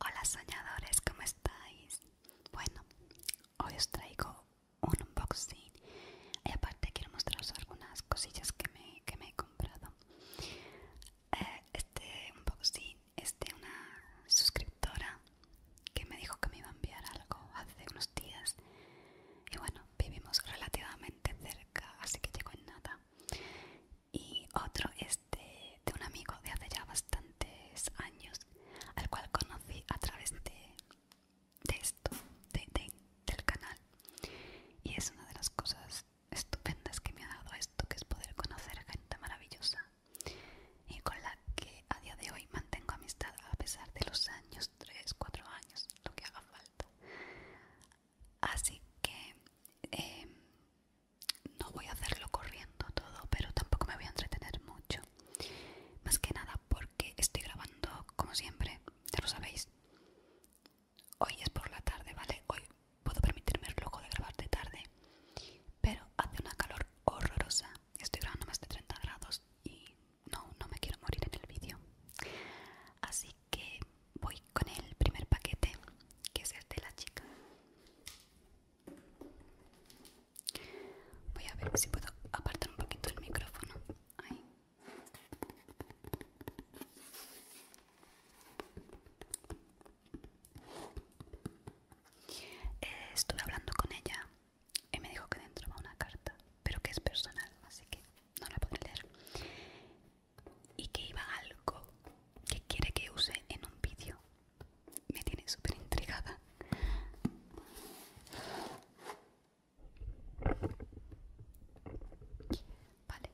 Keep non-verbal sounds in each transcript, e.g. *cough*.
Hola soñadores, ¿cómo estáis? Bueno, hoy os traigo un unboxing y aparte quiero mostraros algunas cosillas que me, que me eh, este unboxing es de una suscriptora que me dijo que me iba a enviar algo hace unos días y bueno vivimos relativamente cerca así que llegó en nada y otro es este, de, un amigo de hace ya bastantes años al cual conocí a través de esto, de, del canal y es una de las cosas estupendas que me ha dado esto que es poder conocer gente maravillosa y con la que a día de hoy mantengo amistad a pesar de los años 3 4 años lo que haga falta así que em, no voy a hacerlo corriendo todo pero tampoco me voy a entretener mucho más que nada porque estoy grabando como siempre ya lo sabéis hoy es por la tarde, ¿vale? Hoy puedo permitirme el lujo de grabar de tarde, pero hace una calor horrorosa. Estoy grabando más de 30 grados y no, no me quiero morir en el vídeo. Así que voy con el primer paquete, que es el de la chica. Voy a ver si puedo apartar un poquito el micrófono. Ahí estuve hablando con ella y me dijo que dentro va una carta, pero que es personal, así que no la podré leer. Y que iba algo que quiere que use en un vídeo. Me tiene súper intrigada. Vale.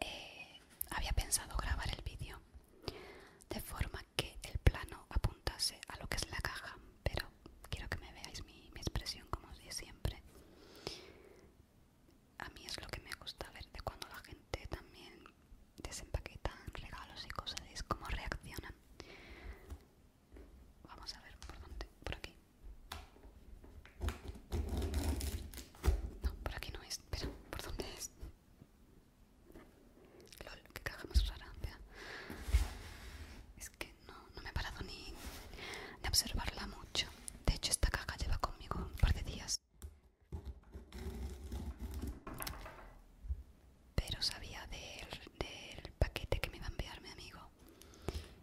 Eh, había pensado grabar el vídeo de forma que el plano apuntase a lo que es la caja, pero quiero que me veáis mi, expresión como os siempre. A mí es lo que me gusta ver de cuando la gente también desempaqueta regalos y cosas, es cómo reaccionan. Vamos a ver por dónde, por aquí. No, por aquí no es. Espera, ¿por dónde es? Lol, qué caja más Es que no, me he parado ni de observarla mucho. De hecho, esta caja lleva conmigo un par de días. Pero sabía del paquete que me iba a enviar mi amigo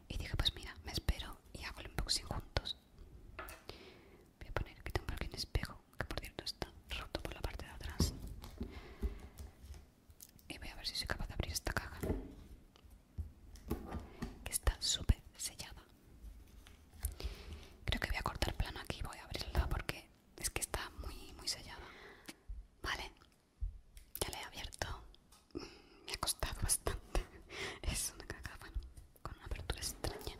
y dije, pues mira, me espero y hago el unboxing juntos. Voy a poner aquí tengo aquí un espejo, que por cierto está roto por la parte de atrás. Y voy a ver si soy capaz de abrir esta caja. Que está súper sellada. Creo que voy a cortar plano aquí y voy a abrirla porque es que está muy, muy sellada. Vale, ya la he abierto me ha costado bastante. *laughs* Es una cagada. bueno, con una apertura extraña.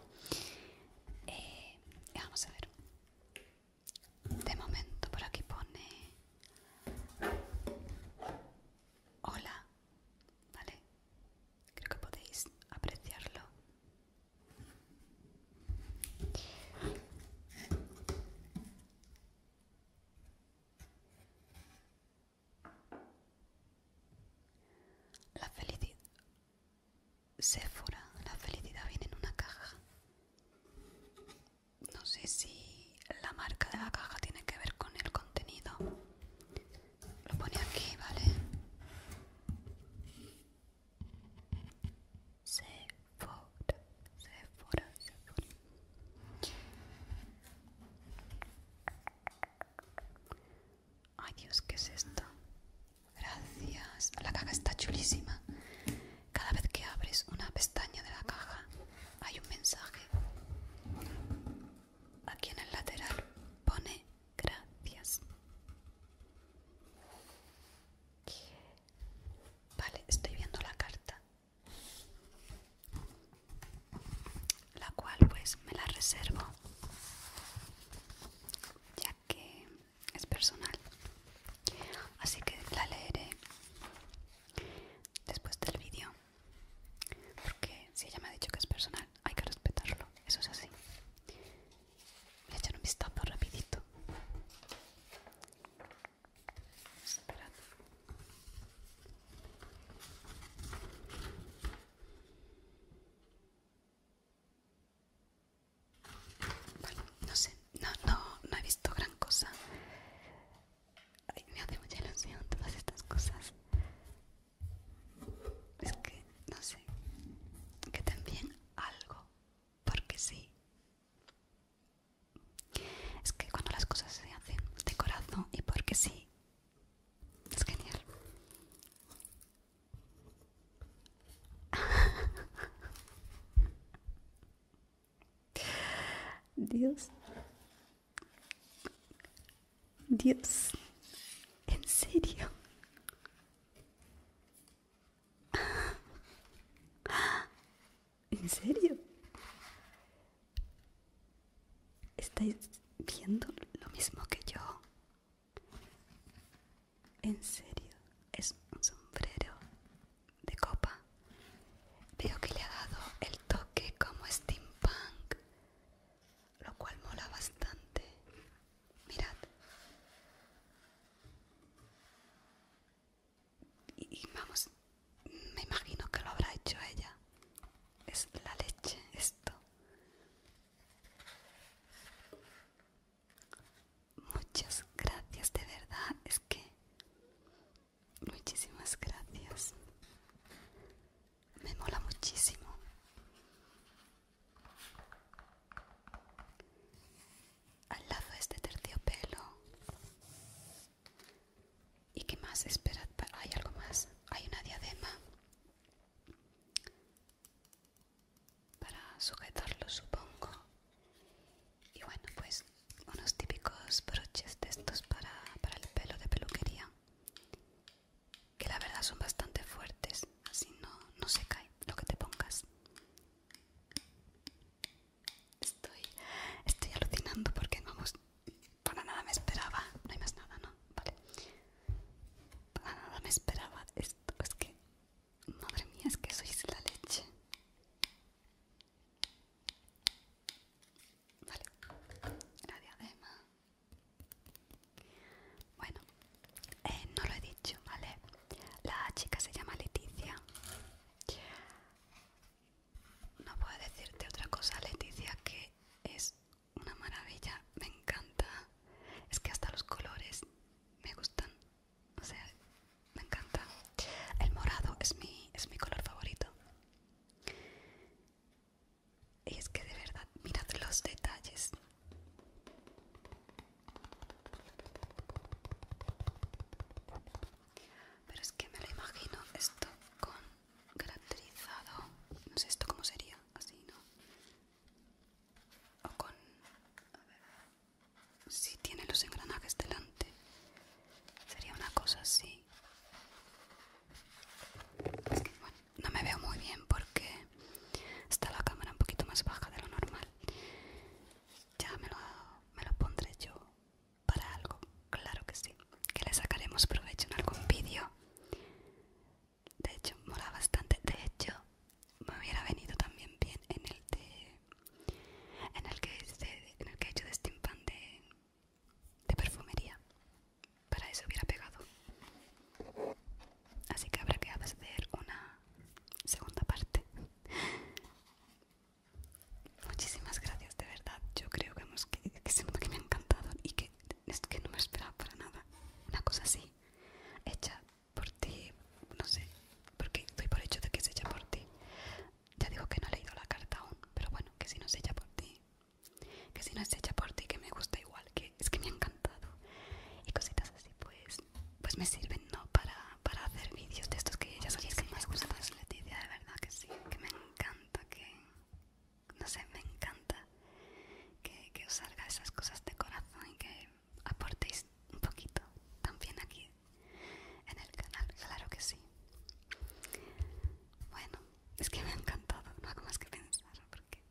Eh, vamos a ver. De momento por aquí pone... Hola, ¿vale? Creo que podéis apreciarlo. La felicidad. Sephora, la felicidad viene en una caja. No sé si la marca de la caja tiene que ver con el contenido. Lo pone aquí, ¿vale? Sephora, Sephora, Sephora. Ay Dios, ¿qué es esto? Gracias. La caja está chulísima. Cada vez que abres una pestaña de la caja hay un mensaje. Aquí en el lateral pone gracias. Vale, estoy viendo la carta la cual pues me la reservo ya que es personal así que la leeré después del vídeo porque si ella me ha dicho que es personal hay que respetarlo eso es así voy echar un vistazo rapidito bueno, no sé, no, no, no he visto gran cosa. me hace mucha ilusión todas estas cosas. Es que, no sé, que también algo, porque sí. Es que cuando las cosas se hacen de corazón y porque sí, es genial. Dios. Dios. ¿En serio? ¿En serio? ¿Estáis viendo lo mismo que yo? En serio, es un sombrero de copa. Veo que le ha dado el toque como steampunk, lo cual mola bastante. Mirad. Y, vamos, me imagino que lo habrá hecho ella. Es la leche esto. Muchas gracias, de verdad, es que... Muchísimas gracias. Me mola muchísimo. Al lado este terciopelo ¿Y qué más? Esperad, hay algo más. Hay una diadema para sujetarlo, supongo. Y bueno, pues unos típicos broches de estos para, el pelo de peluquería. Que la verdad son bastante fuertes, así no, no se cae lo que te pongas. Estoy, estoy alucinando porque vamos, para nada me esperaba. No hay más nada, ¿no? Vale. Para nada me esperaba esto. Es que. Madre mía, es que sois la leche. Vale. La diadema. Bueno, eh, no lo he dicho, ¿vale? La chica se llama Leticia. No puedo decirte otra cosa, Leticia, que es una maravilla. Me encanta. Es que hasta los colores me gustan. O sea, me encanta. El morado es mi, es mi color favorito. Y es que de verdad, mirad los detalles. Pero es que me lo imagino esto con caracterizado, no sé esto cómo sería, así, ¿no? O con, a ver, si tiene los engranajes delante, sería una cosa así. no me veo muy bien porque está la cámara un poquito más baja de lo normal. Ya me lo pondré yo para algo, claro que sí, que le sacaremos provecho en algún vídeo de hecho mola bastante de hecho me hubiera venido también bien en el en el que he hecho de este de, de perfumería para eso hubiera pegado así que habrá que hacer una segunda parte *laughs* muchísimas gracias de verdad yo creo que hemos que, que me ha encantado y que es que no me esperaba para nada una cosa así hecha por ti no sé porque estoy por hecho de que es hecha por ti ya digo que no he leído la carta aún pero bueno que si no es hecha por ti que si no es hecha por ti que me gusta igual que es que me ha encantado y cositas así pues pues me sirven no para, para hacer vídeos de estos que ya sabéis sí, que sí, más gustan Leticia de verdad que sí que me encanta que no sé, me encanta que, os salga esas cosas de corazón y que aportéis un poquito también aquí en el canal, claro que sí. Bueno, es que me ha encantado, no hago más que pensar porque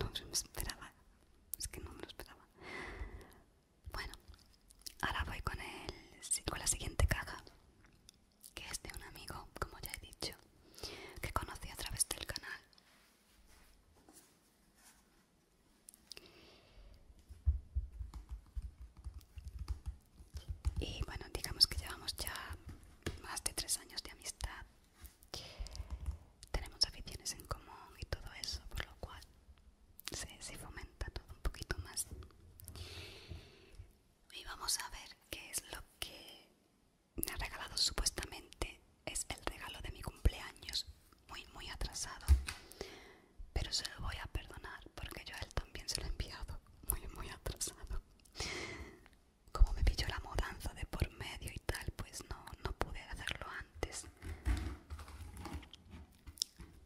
no me esperaba, es que no me lo esperaba. Bueno, ahora voy con, el, con la siguiente caja que es de un amigo, como ya he dicho, que conocí a través del canal. Y bueno, digamos que llevamos ya más de tres años de amistad. Tenemos aficiones en común y todo eso, por lo cual se, se fomenta todo un poquito más. Y vamos a ver qué es lo que me ha regalado supuestamente es el regalo de mi cumpleaños muy muy atrasado pero se lo voy a perdonar porque yo a él también se lo he enviado muy muy atrasado como me pilló la mudanza de por medio y tal pues no no pude hacerlo antes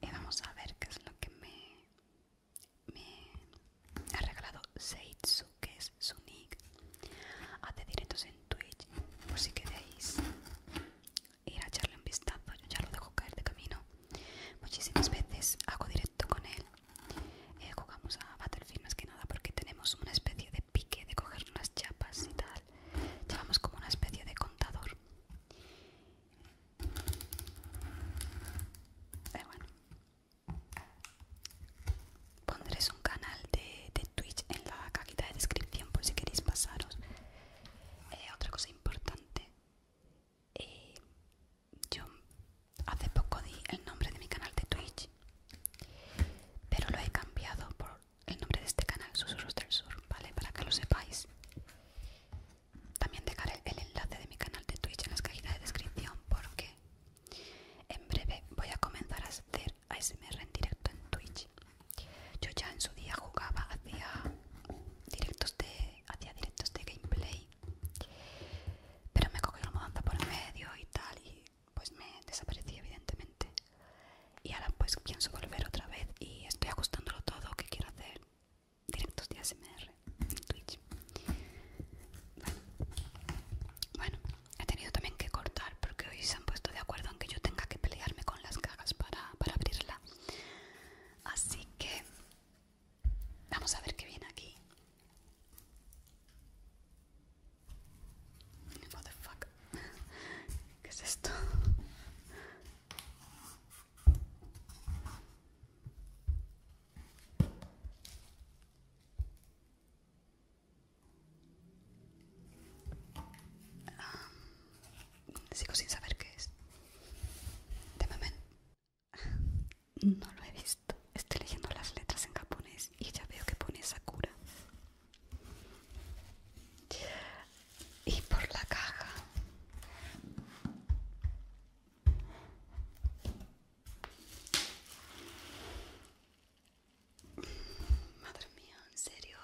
y vamos a ver qué es lo que me me ha regalado Seitsu, que es su nick, hace directos en Twitch, por si queréis ir a echarle un vistazo, yo ya lo dejo caer de camino. Muchísimas veces hago directo con él, eh, jugamos a Battlefield más que nada porque tenemos una especie de pique de coger unas chapas y tal, llevamos como una especie de contador. Eh, bueno. Pondréis un canal de, Twitch en la cajita de descripción por si queréis pasaros. Eh, otra cosa importante, eh, yo hace poco di el nombre de mi canal de Twitch, pero lo he cambiado por el nombre de este canal, Susurros del Sur, ¿vale? Para que lo sepáis. También dejaré el enlace de mi canal de Twitch en las cajitas de descripción porque en breve voy a comenzar a hacer ASMR en directo en Twitch. Yo ya en su día jugaba, hacía directos de, hacía directos de gameplay, pero me cogió la mudanza por medio y tal y pues me desaparecí evidentemente. Y ahora pues pienso volver otra vez y estoy ajustándolo todo que quiero hacer directos de ASMR. Twitch. Bueno. he tenido también que cortar porque hoy se han puesto de acuerdo en que yo tenga que pelearme con las cajas para, para abrirla. Así que vamos a ver qué viene aquí. What the fuck? *laughs* ¿Qué es esto? Um, sigo sin saber qué es. De momento no lo he visto. Estoy leyendo las letras en japonés y ya veo que pone Sakura. Y por la caja Madre mía, en serio.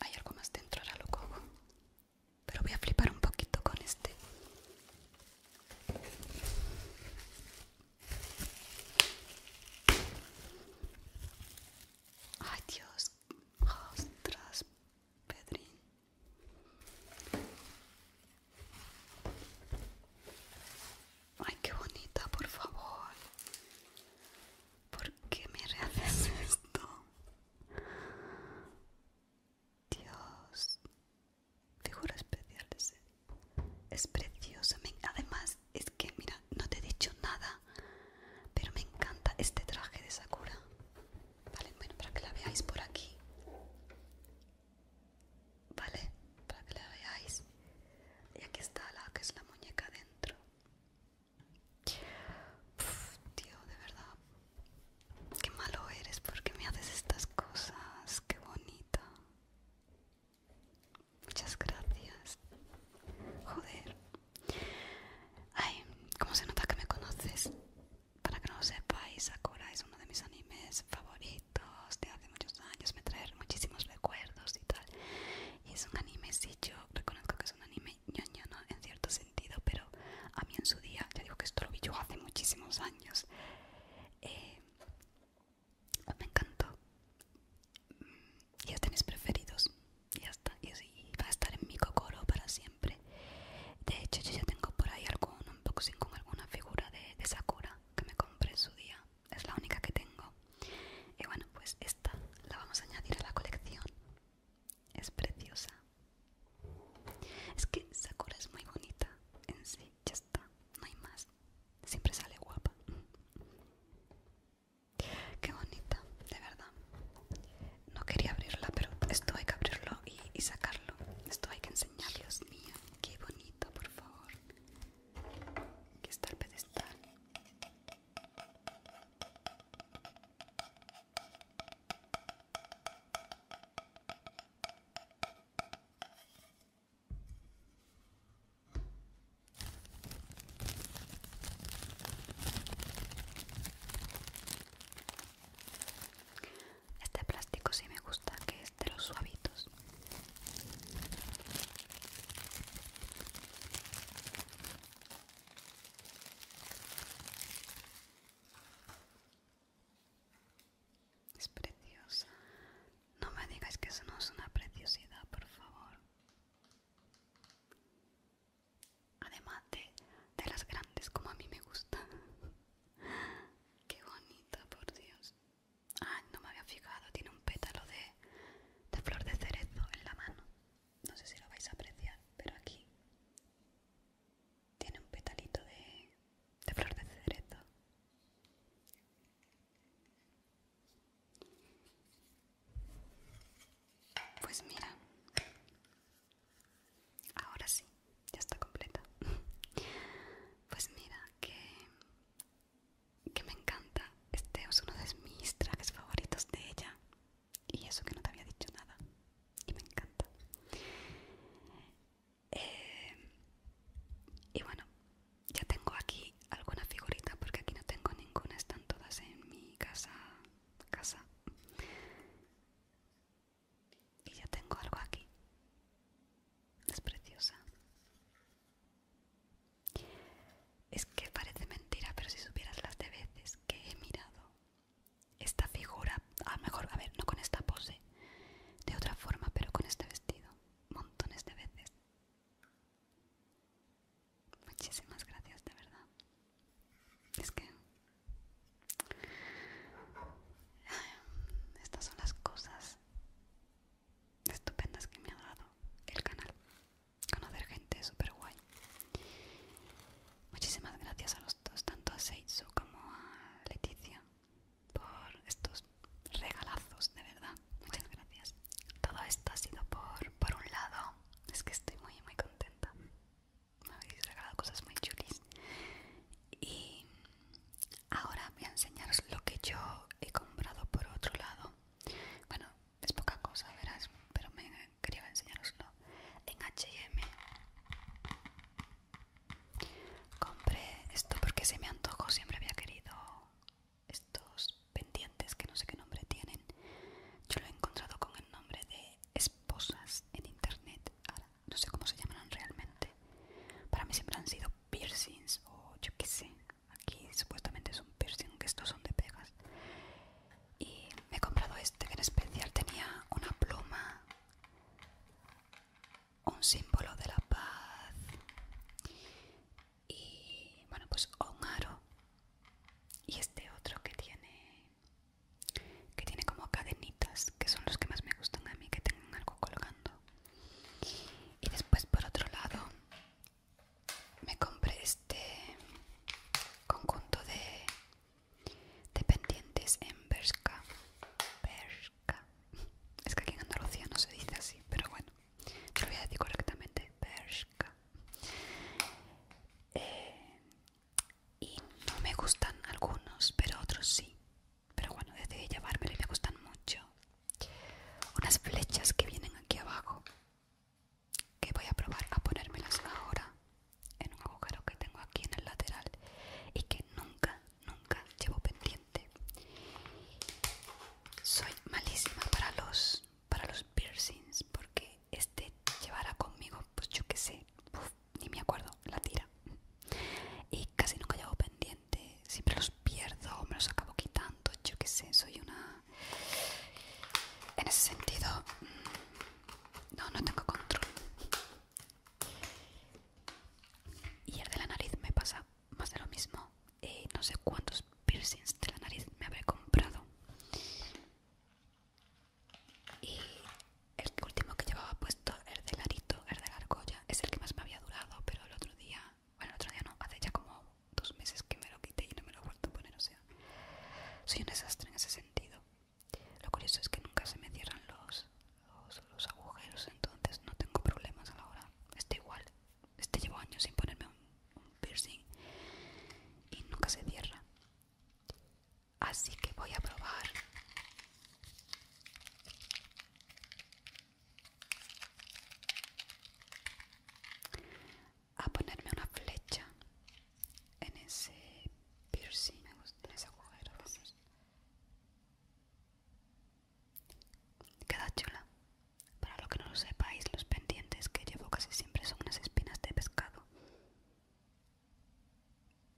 Hay algo más dentro, ahora lo Pero voy a flipar un poquito con este. Ay Dios, ostras, Pedrín. Ay, qué bonita, por favor. ¿Por qué me rehaces esto? Dios, te especial Es preciosa. Además, es que mira, no te he dicho nada. Pero me encanta este traje de Sakura. Vale, bueno, para que la veáis por aquí. Vale, para que la veáis. Y aquí está la que es la muñeca dentro. tío, de verdad. Qué malo eres porque me haces estas cosas. Qué bonita. Muchas gracias. Joder. Ay, ¿cómo se nota que me conoces? Para que no lo sepáis, Sakura es uno de mis animes favoritos de hace muchos años, me trae muchísimos recuerdos y tal. Y es un anime, si yo reconozco que es un anime ñoño, En cierto sentido, pero a mí en su día, ya digo que esto lo vi yo hace muchísimos años, eh, me encantó ya tenéis preferidos ya está y, así va a estar en mi cocoro para siempre de hecho yo ya tengo por ahí algún unboxing con alguna figura de, de Sakura que me compré en su día es la única que tengo y bueno pues esta la vamos a añadir a la colección es preciosa es que Sakura es muy bonita en sí ya está no hay más siempre sale guapa Qué bonita, de verdad. No quería abrirla, pero esto hay que abrirlo y, sacarlo. Esto hay que enseñar, Dios mío. Qué bonito, por favor. Aquí está el pedestal. Este plástico sí me gusta, que es de los suavitos. Es preciosa. No me digáis que eso no es una preciosidad, por favor además de, las grandes como a mí me gusta *laughs* qué bonito por dios ah no me había fijado tiene un pétalo de, de flor de cerezo en la mano no sé si lo vais a apreciar pero aquí tiene un petalito de, de flor de cerezo pues mira, ahora sí, ya está completa. *laughs* Pues mira que que me encanta. Este es uno de mis trajes favoritos de ella. Y eso que no te había dicho nada. Y me encanta. Eh, y bueno, ya tengo aquí alguna figurita porque aquí no tengo ninguna. Están todas en mi casa casa. Y ya tengo algo aquí. Es preciosa. Es que parece mentira, pero si supieras las de veces que he mirado esta figura, a lo mejor, a ver, no con esta pose, de otra forma, pero con este vestido, montones de veces. Muchísimas gracias, de verdad. Es que estas son las cosas estupendas que me ha dado el canal. Conocer gente súper guay. Muchísimas gracias a los dos, tanto a Seitsu como a Leticia, por estos regalazos, de verdad. Muchas gracias. Todo esto ha sido por, por un lado, es que estoy muy, muy contenta. Me habéis regalado cosas muy chulis. Y ahora voy a enseñaros lo que yo he comprado por otro lado. Bueno, es poca cosa, verás, pero me quería enseñaroslo. En HM compré esto porque se me antojó, siempre había querido estos pendientes que no sé qué nombre tienen. Yo lo he encontrado con el nombre de esposas en internet. Ahora, no sé cómo se llaman realmente. Para mí siempre han sido piercings o yo qué sé. Aquí supuestamente es un piercing, que estos son de pegas. Y me he comprado este que en especial tenía una pluma, un símbolo de la paz y bueno pues un aro y este otro que tiene que tiene como cadenitas que son los que más me gustan a mí que tengan algo colgando y después por otro lado me compré este conjunto de, de pendientes en Bershka es que aquí en Andalucía no se dice así pero bueno lo voy a decir correctamente berska eh, y no me gustan algunos pero otros sí pero bueno decidí llevármelo y me gustan mucho unas flechas que vienen aquí abajo que voy a probar a ponérmelas ahora en un agujero que tengo aquí en el lateral y que nunca nunca llevo pendiente soy malísima para los para los piercings porque este llevará conmigo, pues yo que sé, ni me acuerdo, la tira. Y casi nunca llevo pendiente, siempre los pierdo, me los acabo quitando, yo que sé, soy una... En ese sentido, mm, no, no tengo control. Y el de la nariz me pasa más de lo mismo. Eh, no sé cuántos piercings de la nariz me habré comprado. Y el último que llevaba puesto, el de Larito, el de la es el que más me había durado, pero el otro día, bueno, el otro día no, hace ya como dos meses que me lo quité y no me lo he vuelto a poner, o sea, soy un desastre en ese sentido. Lo curioso es que nunca se me cierran los, los, agujeros, entonces no tengo problemas a la hora. Este igual, este llevo años sin ponerme un un piercing y nunca se cierra. Así que voy a probar. A ponerme una flecha en ese piercing, me gusta en ese Queda chula. Para lo que no lo sepáis, los pendientes que llevo casi siempre son unas espinas de pescado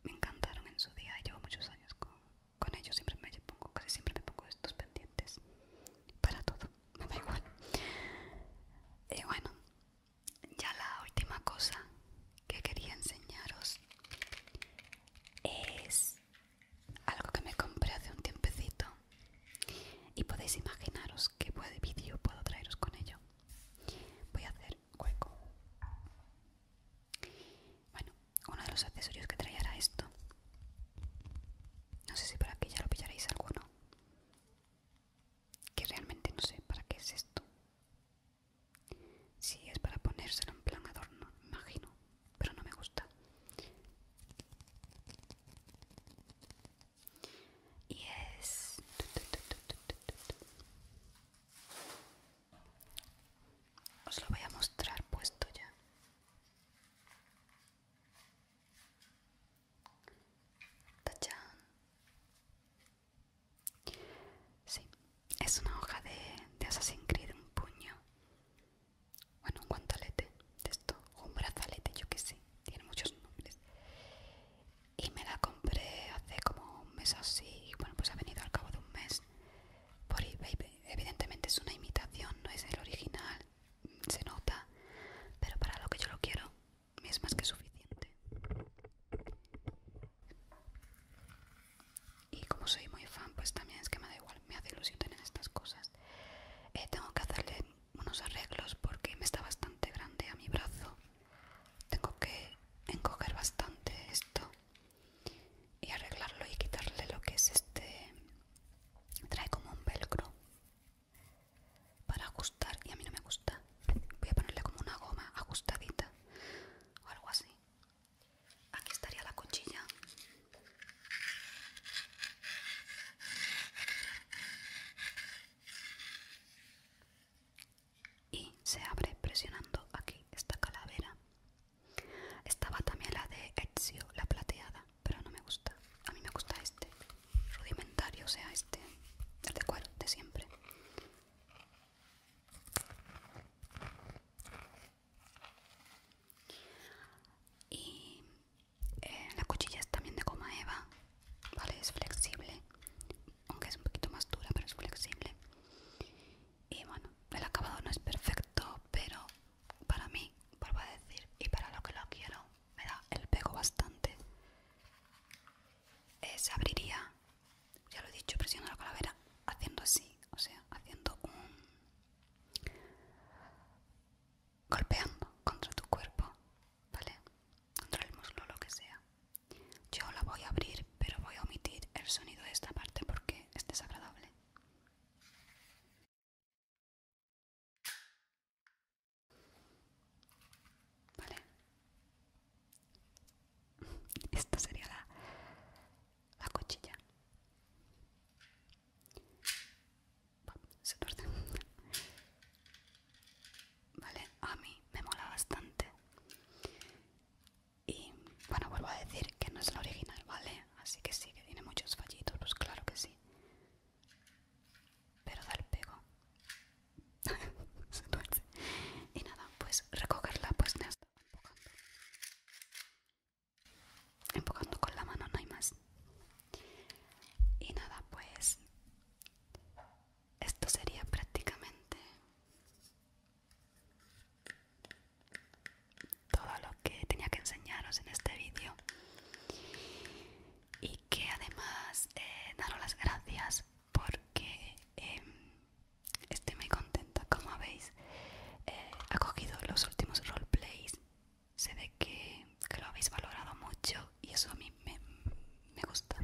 me encantaron en su día, llevo muchos años con, ellos, siempre me pongo, casi siempre me pongo estos pendientes para todo, me igual. Y eh, bueno, ya la última cosa que quería enseñaros es algo que me compré hace un tiempecito y podéis imaginaros qué vídeo puedo traeros con ello voy a hacer hueco bueno uno de los accesorios que traía era esto no sé si por aquí ya lo pillaréis alguno que realmente no sé para qué es esto si es para ponérselo en plan adorno imagino pero no me gusta y es os lo voy a mostrar puesto ya ¡Tachán! Sí, es una hoja de, Assassin's Creed, un puño. Bueno, un guantalete de esto, un brazalete, yo que sé, tiene muchos nombres y me la compré hace como un mes así bueno pues ha venido al cabo de un mes por evidentemente es una imitación no es el original se nota pero para lo que yo lo quiero es más que suficiente y como soy muy fan pues también es que me da igual me hace ilusión tener estas cosas eh, tengo que hacerle unos arreglos porque me está bastante grande a mi brazo. Tengo que encoger bastante esto y arreglarlo y quitarle lo que es este. Trae como un velcro para ajustar y a mí no me gusta. Voy a ponerle como una goma ajustadita o algo así. Aquí estaría la cuchilla y se abre presionando aquí esta calavera. Estaba también la de Ezio, la plateada, pero no me gusta. A mí me gusta este, rudimentario, o sea, este, el de cuero de siempre. Y eh, la cuchilla es también de coma eva ¿vale? Es flexible, aunque es un poquito más dura, pero es flexible. Y bueno, el acabado no es perfecto, pero para mí, vuelvo a decir, y para lo que lo quiero, me da el pego bastante. se abriría, ya lo he dicho, presionando la calavera, haciendo así, o sea, haciendo un golpeando contra tu cuerpo ¿vale? Contra el muslo, lo que sea. Yo la voy a abrir, pero voy a omitir el sonido de esta parte porque es desagradable. Vale. *laughs* Esta sería la, la cuchilla. Se parte. ¿Vale? A mí me mola bastante. Y bueno, vuelvo a decir que no es la original, ¿vale? Así que sí, que tiene muchos fallitos, pues claro que sí. Pero da el pego. *laughs* Y nada, pues recogerla, pues ha estado empujando. Empujando con la mano, no hay más. Y nada, pues esto sería prácticamente todo lo que tenía que enseñaros en este vídeo y que además eh, daros las gracias porque em, estoy muy contenta como habéis eh, acogido los últimos roleplays Se ve que lo habéis valorado mucho y eso a mí me, gusta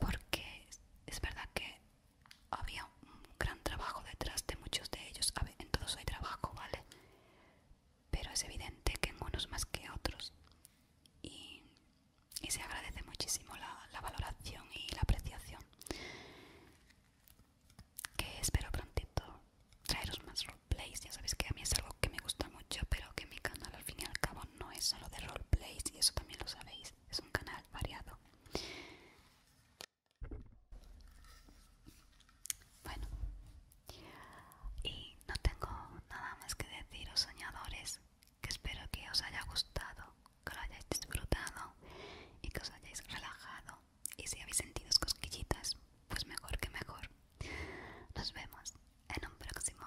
porque es verdad que había un gran trabajo detrás de muchos de ellos en todos hay trabajo vale pero es evidente que en unos más que otros y, se agradece muchísimo la, la valoración y la apreciación que espero prontito traeros más roleplays ya sabéis que a mí es algo que me gusta mucho pero que mi canal al fin y al cabo no es solo de roleplays y eso también lo sabéis, es un canal variado. Bueno, y no tengo nada más que deciros, soñadores, que espero que os haya gustado, que lo hayáis disfrutado y que os hayáis relajado. Y si habéis sentido cosquillitas, pues mejor que mejor. Nos vemos en un próximo